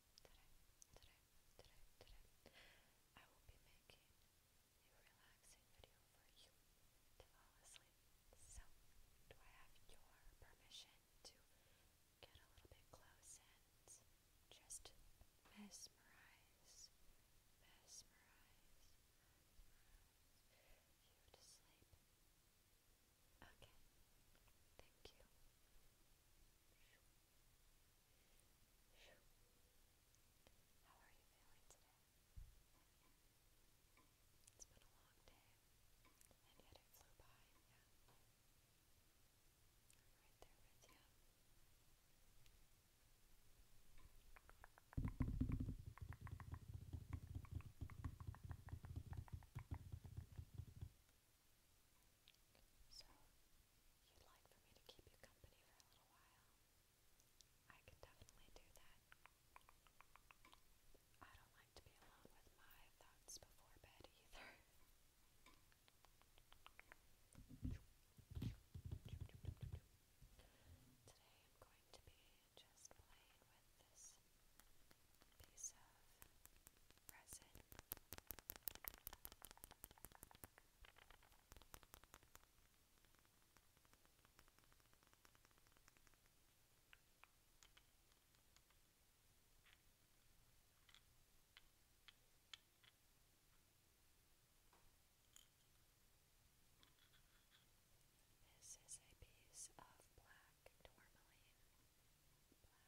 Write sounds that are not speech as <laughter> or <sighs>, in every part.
Today, today, today, today, I will be making a relaxing video for you to fall asleep. So, do I have your permission to get a little bit close and just mesmerize, mesmerize, mesmerize you to sleep? Okay, thank you. Thank you. How are you feeling today? It's been a long day, and yet it flew by, yeah. right there with you. So, you'd like for me to keep you company for a little while? I can definitely do that. I don't like to be alone with my thoughts before bed either. Today I'm going to be just playing with this piece of resin. This is a piece of black tourmaline, black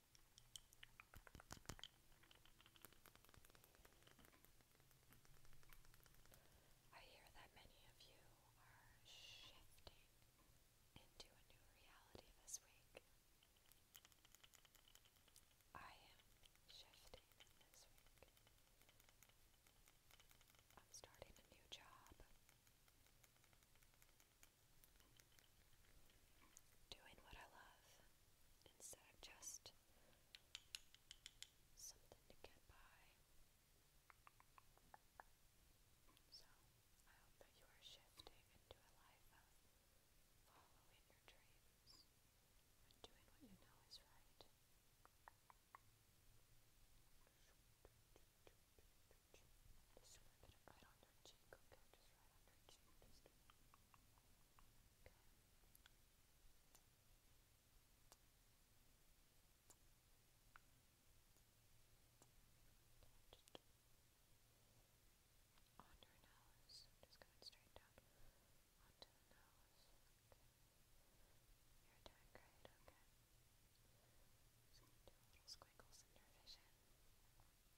I hear that many of you are shifting into a new reality this week. I am shifting this week. I'm starting a new job doing what I love instead of just something to get by. So, I hope that you are shifting into a life of following your dreams and doing what you know is right. Just a little bit right on your cheek, okay? Just right on your cheek. Just okay. okay just on your nose. Just going straight down onto the nose. Okay. You're doing great, okay? Just gonna do little squiggles in your vision. Okay.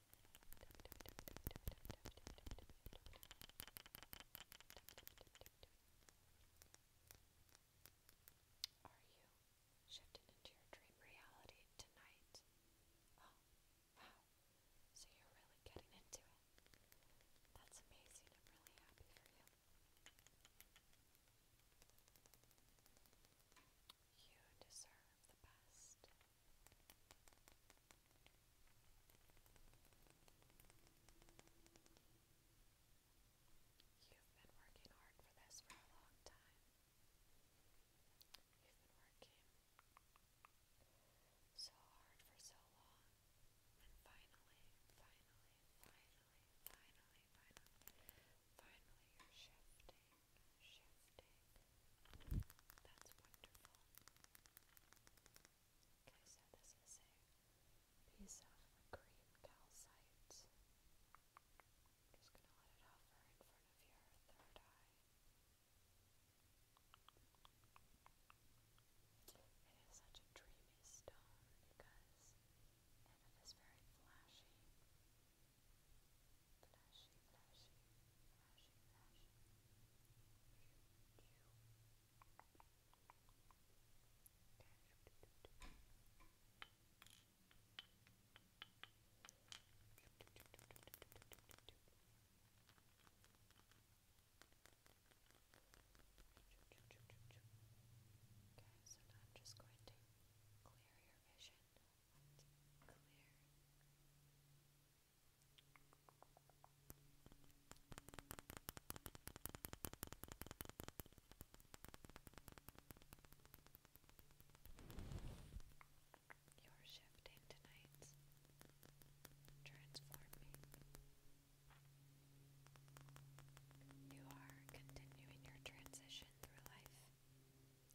Are you shifted into your dream reality tonight? Oh, wow. So you're really getting into it. That's amazing. I'm really happy for you. You deserve of You've been working hard for this for a long time. You've been working so hard for so long. And finally, finally, finally, finally, finally, finally, you're shifting shifting. That's wonderful. Okay, so this is a piece of cream calcite. Just gonna let it hover in front of your third eye. It is such a dreamy stone because it is very flashy flashy, flashy, flashy, flashy. Okay, so now I'm just going to clear your vision clear. You're shifting tonight, transforming. You are continuing your transition through life.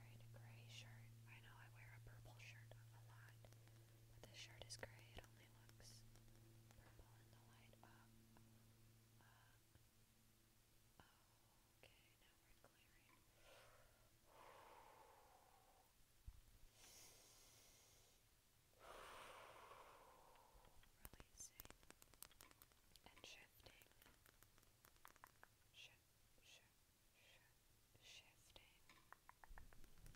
gray shirt. I know I wear a purple shirt a lot, but this shirt is gray. It only looks purple in the light. Uh, okay, now we're clearing. <sighs> Releasing and shifting, sh sh shifting. Okay. Okay. You're doing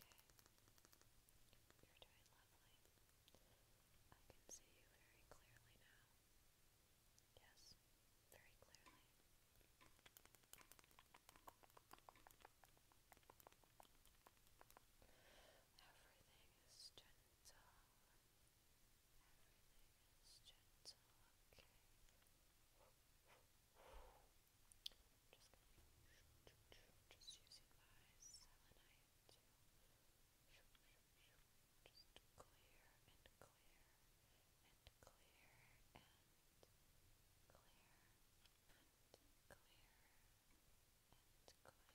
lovely. I can see you very clearly now. Yes, very clearly. Everything is gentle gentle. Everything is gentle, okay. just clear and clear and clear and clear and clear and clear, clear, clear.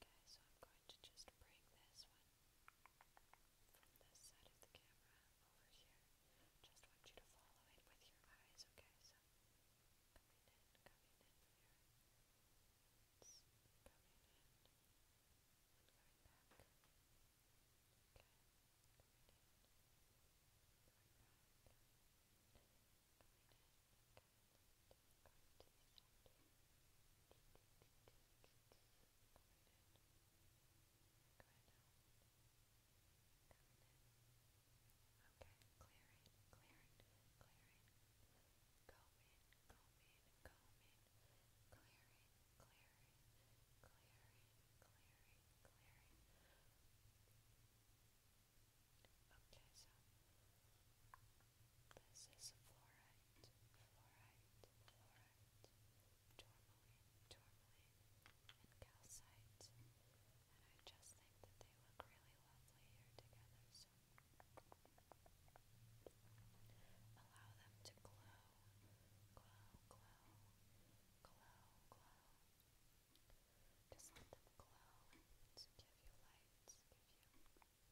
Okay, so I'm going to just bring this one from this side of the camera over here. Just want you to follow it with your eyes, okay? So coming in, coming in here. It's coming in and going back. Okay, coming in, going back, coming in clearing, clearing, clearing, clearing. Okay, so this is fluorite, fluorite, fluorite, tourmaline, tourmaline, and calcite. And I just think that they look really lovely here together, so allow them to glow, glow, glow, glow, glow. Just let them glow and give you light, give you,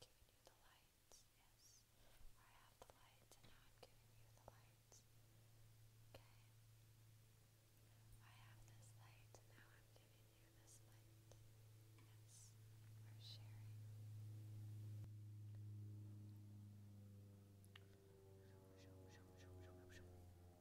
giving you the light, yes. I have the light and now I'm giving you the light, okay. I have this light and now I'm giving you this light, yes. We're sharing.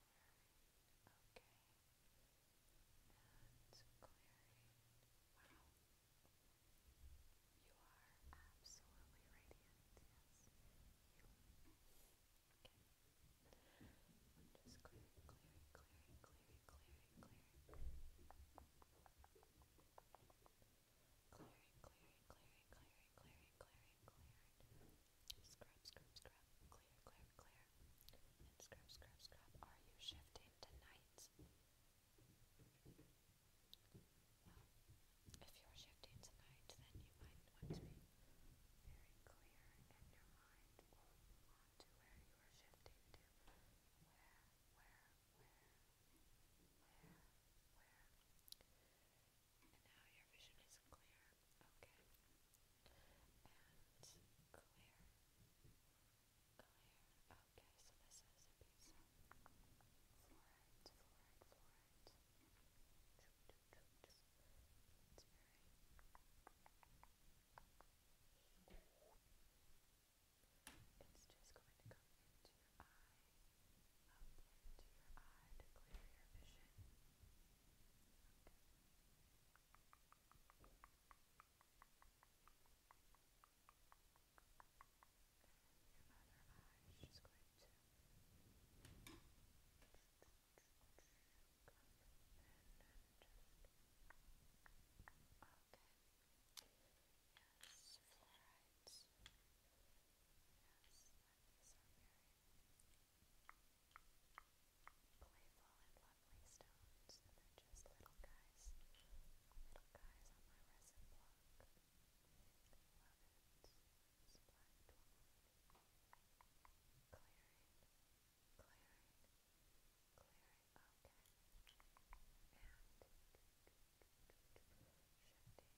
Clarine. Okay. And Clarine. Wow. You are absolutely radiant, yes. You. Okay. just clearing, clearing, clearing, clearing, clearing, clearing. Clearing, clearing, clearing, clearing, clearing, clearing, clearing, Scrub, scrub, scrub, clear, clear, clear. And scrub, scrub, scrub. Are you shifting tonight? Well, if you're shifting tonight, then you might want to be very clear in your mind on to where you are shifting to. Where, where, where, where, where. And now your vision is clear. Okay. And clear. Clear. Okay, so this is a piece of fluorite, fluorite, fluorite. It's very it's just going to come into your eye up into your eye to clear your vision. Okay. Your other eye is just going to come and just okay. Yes, fluorides. Yes, Anemones are very playful and lovely stones, and they're just little guys, little guys on my resin block. Love it. Splat Clearing, clearing, clearing, okay. And shifting,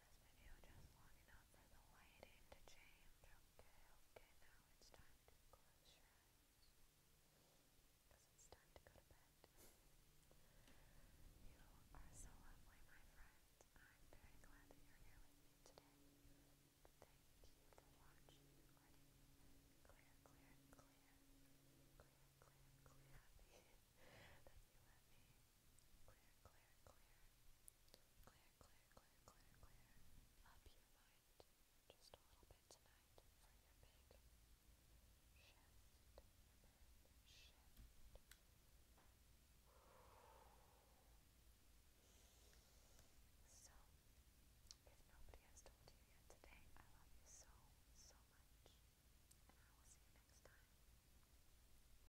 just long enough for the lighting to change. Okay, okay, now it's time to close your eyes. it's time to go to bed. you are so lovely, my friends. I'm very glad that you're here with me today. Thank you for watching. Clear, clear, clear. Clear, clear, clear. Happy that you let me. Clear, clear, clear. Clear, clear, clear, clear, clear up your mind just a little bit tonight for your big shift. if nobody has told you yet today, I love you so, so much. And I will see you next time.